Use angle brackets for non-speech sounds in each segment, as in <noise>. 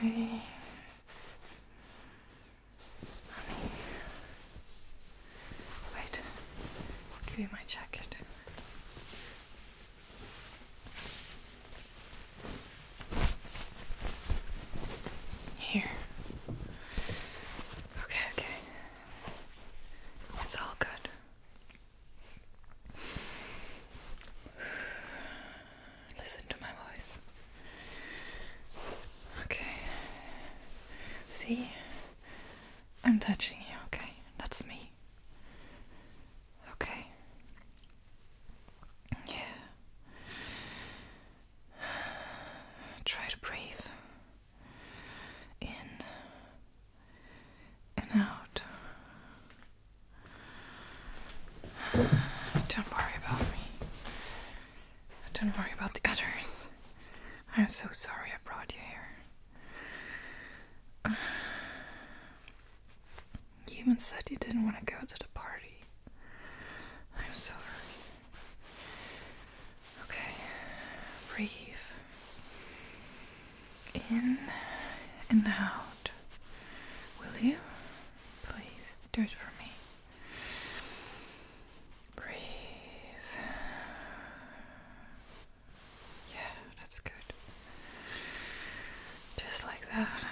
Hey. <sighs> Honey. Wait. give you my jacket. Here. Okay, okay. It's all good. Listen to my voice. Okay. See? I'm touching you, okay? That's me. Okay. Yeah. Try to breathe in and out. Don't worry about me. Don't worry about the others. I'm so sorry I brought you here. You even said you didn't want to go to the party. I'm sorry. Okay, breathe in and out. Will you? Please do it for me. Breathe. Yeah, that's good. Just like that.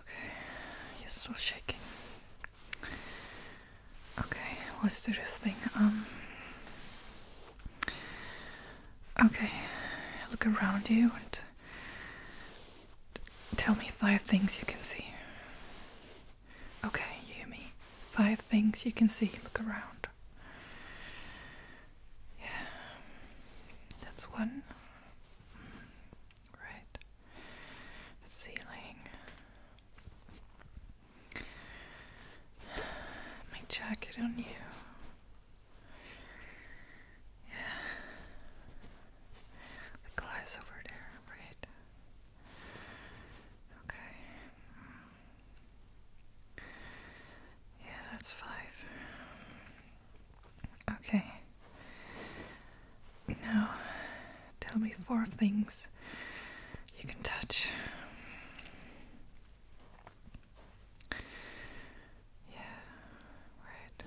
Okay, you're still shaking. Okay, let's do this thing. Um. Okay, look around you and tell me five things you can see. Okay, you hear me? Five things you can see. Look around. Yeah, that's one right ceiling <sighs> my jacket on you yeah the glass over there right okay mm. yeah that's five Okay. Now, tell me four things you can touch. Yeah, right.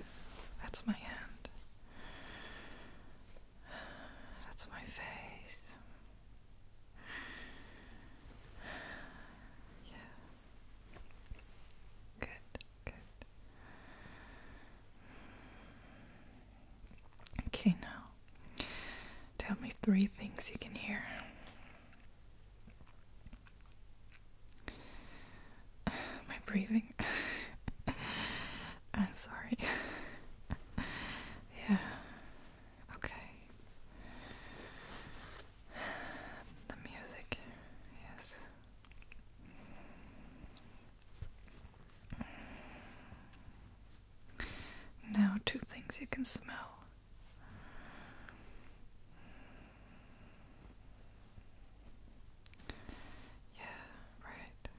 That's my hand. That's my face. Yeah. Good, good. Okay, now tell me three things you can hear. <sighs> My breathing. <laughs> I'm sorry. <laughs> yeah. Okay. The music. Yes. Now, two things you can smell. Yeah, right.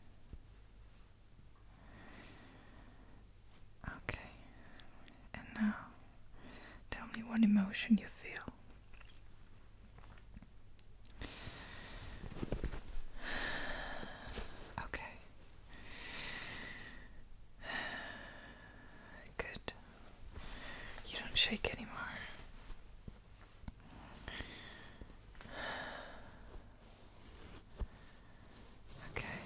Okay, and now tell me what emotion you feel. <sighs> Okay. <sighs> Good. You don't shake anymore. <sighs> Okay.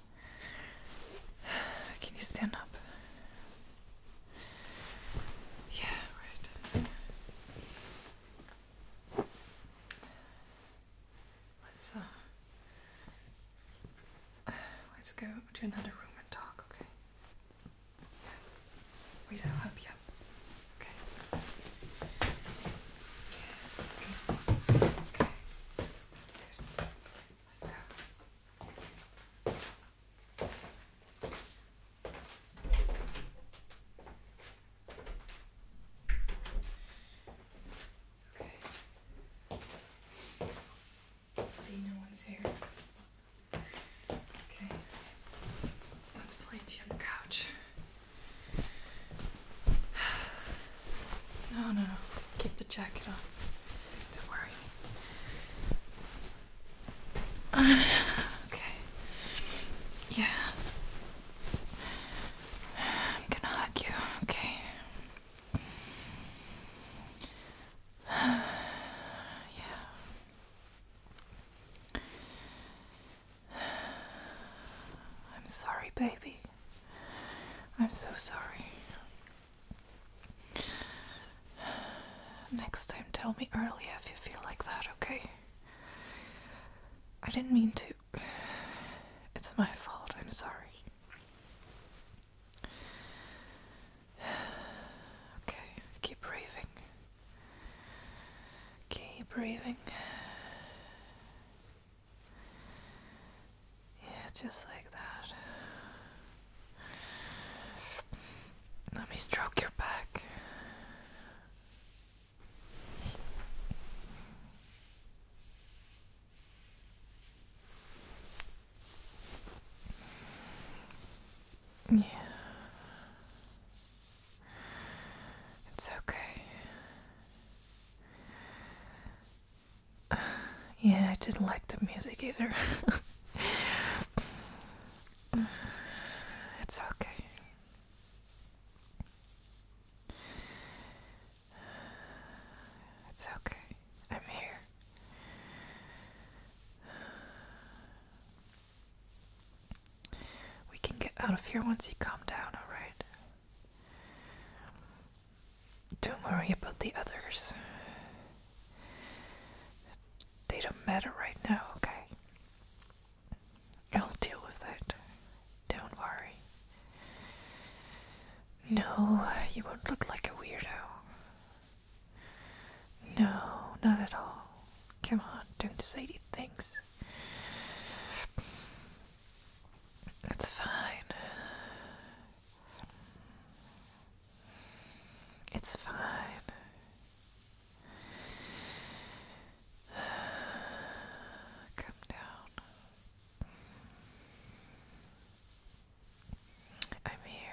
<sighs> Can you stand up? Yeah, right. Let's uh <sighs> let's go to another room and talk, okay? Yeah. Wait, I'll help you up. Okay. Okay. Okay. That's it. Let's go. Okay. See, no one's here. Okay. Let's play to on the couch. <sighs> no, no. Keep the jacket on. Don't worry. <sighs> okay. Yeah. I'm gonna hug you, okay? <sighs> yeah. <sighs> I'm sorry, baby. I'm so sorry. <sighs> Next time, tell me earlier if you feel like that, okay? I didn't mean to. <sighs> It's my fault, I'm sorry. <sighs> Okay, keep breathing. Keep breathing. Yeah, just like that. Let me stroke your back. Yeah. It's okay. <sighs> yeah, I didn't like the music either. <sighs> it's okay. It's okay. I'm here. We can get out of here once you calm down, alright? Don't worry about the others. They don't matter right now, okay? I'll deal with that. Don't worry. No, you won't look like a weirdo. No, not at all. Come on, don't say these things. It's fine. It's fine. Come down. I'm here.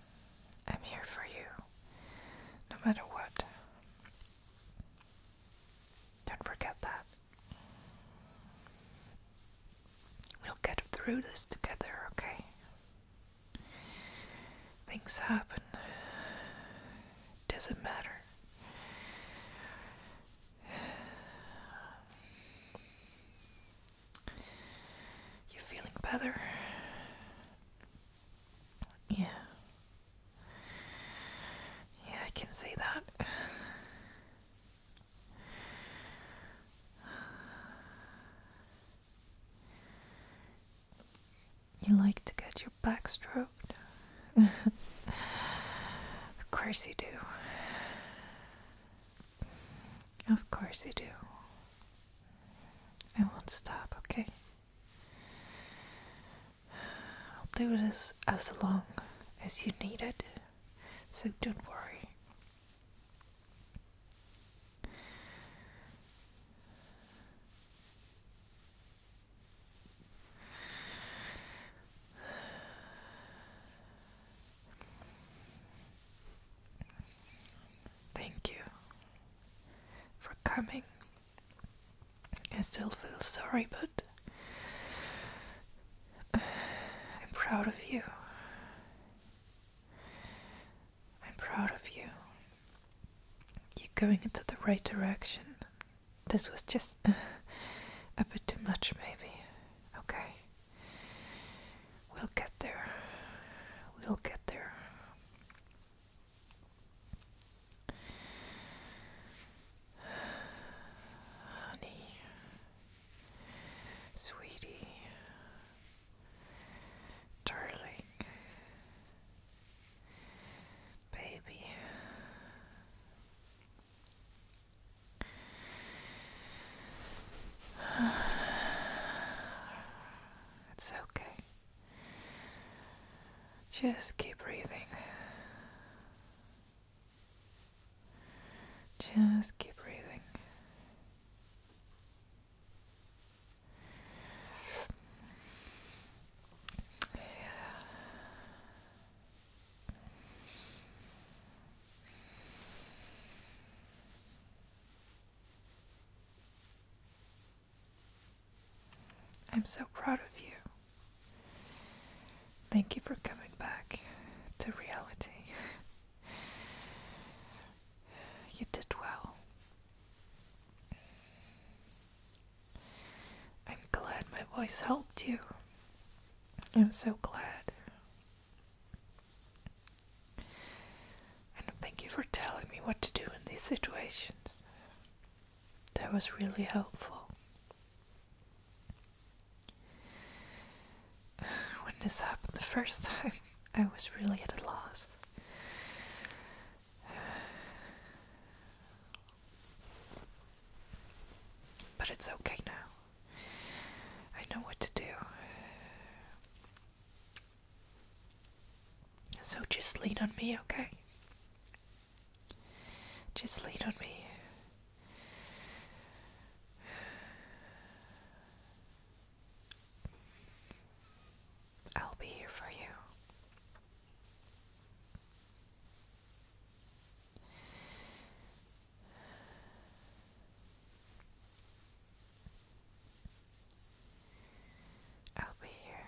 I'm here for you, no matter what. Don't forget that. We'll get through this together, okay? Things happen. Doesn't matter. You feeling better? Yeah. Yeah, I can see that. You like to get your back stroked? <laughs> of course you do. Of course you do. I won't stop, okay? I'll do this as long as you need it, so don't worry. Thank you for coming. I still feel sorry, but I'm proud of you. I'm proud of you. You're going into the right direction. This was just <laughs> a bit too much, maybe. Okay. We'll get there. We'll get there. Honey, sweetie, darling, baby, <sighs> It's okay. Just keep breathing. Just keep breathing. Yeah. I'm so proud of you. Thank you for coming back to reality. you did well. I'm glad my voice helped you. I'm so glad. And thank you for telling me what to do in these situations. That was really helpful. <sighs> When this happened the first time, <laughs> I was really at a loss. <sighs> But it's okay now. I know what to do. So just lean on me, okay? Just lean on me. I'll be here for you. I'll be here.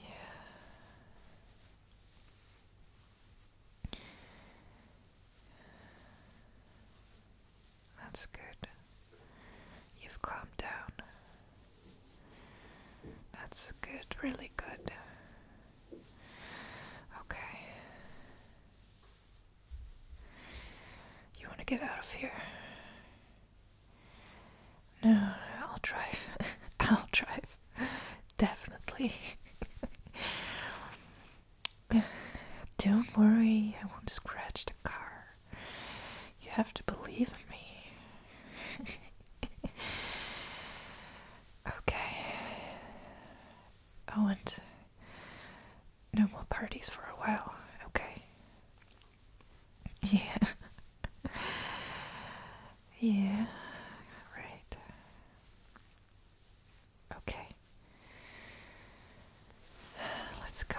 Yeah. That's good. You've calmed down. That's good, really good. Okay. You want to get out of here? No, no I'll drive. <laughs> I'll drive. Definitely. <laughs> Don't worry, I won't scratch the car. You have to believe in me. <laughs> okay. Oh, and no more parties for a while, okay? <laughs> Yeah. yeah, right. Okay. Let's go.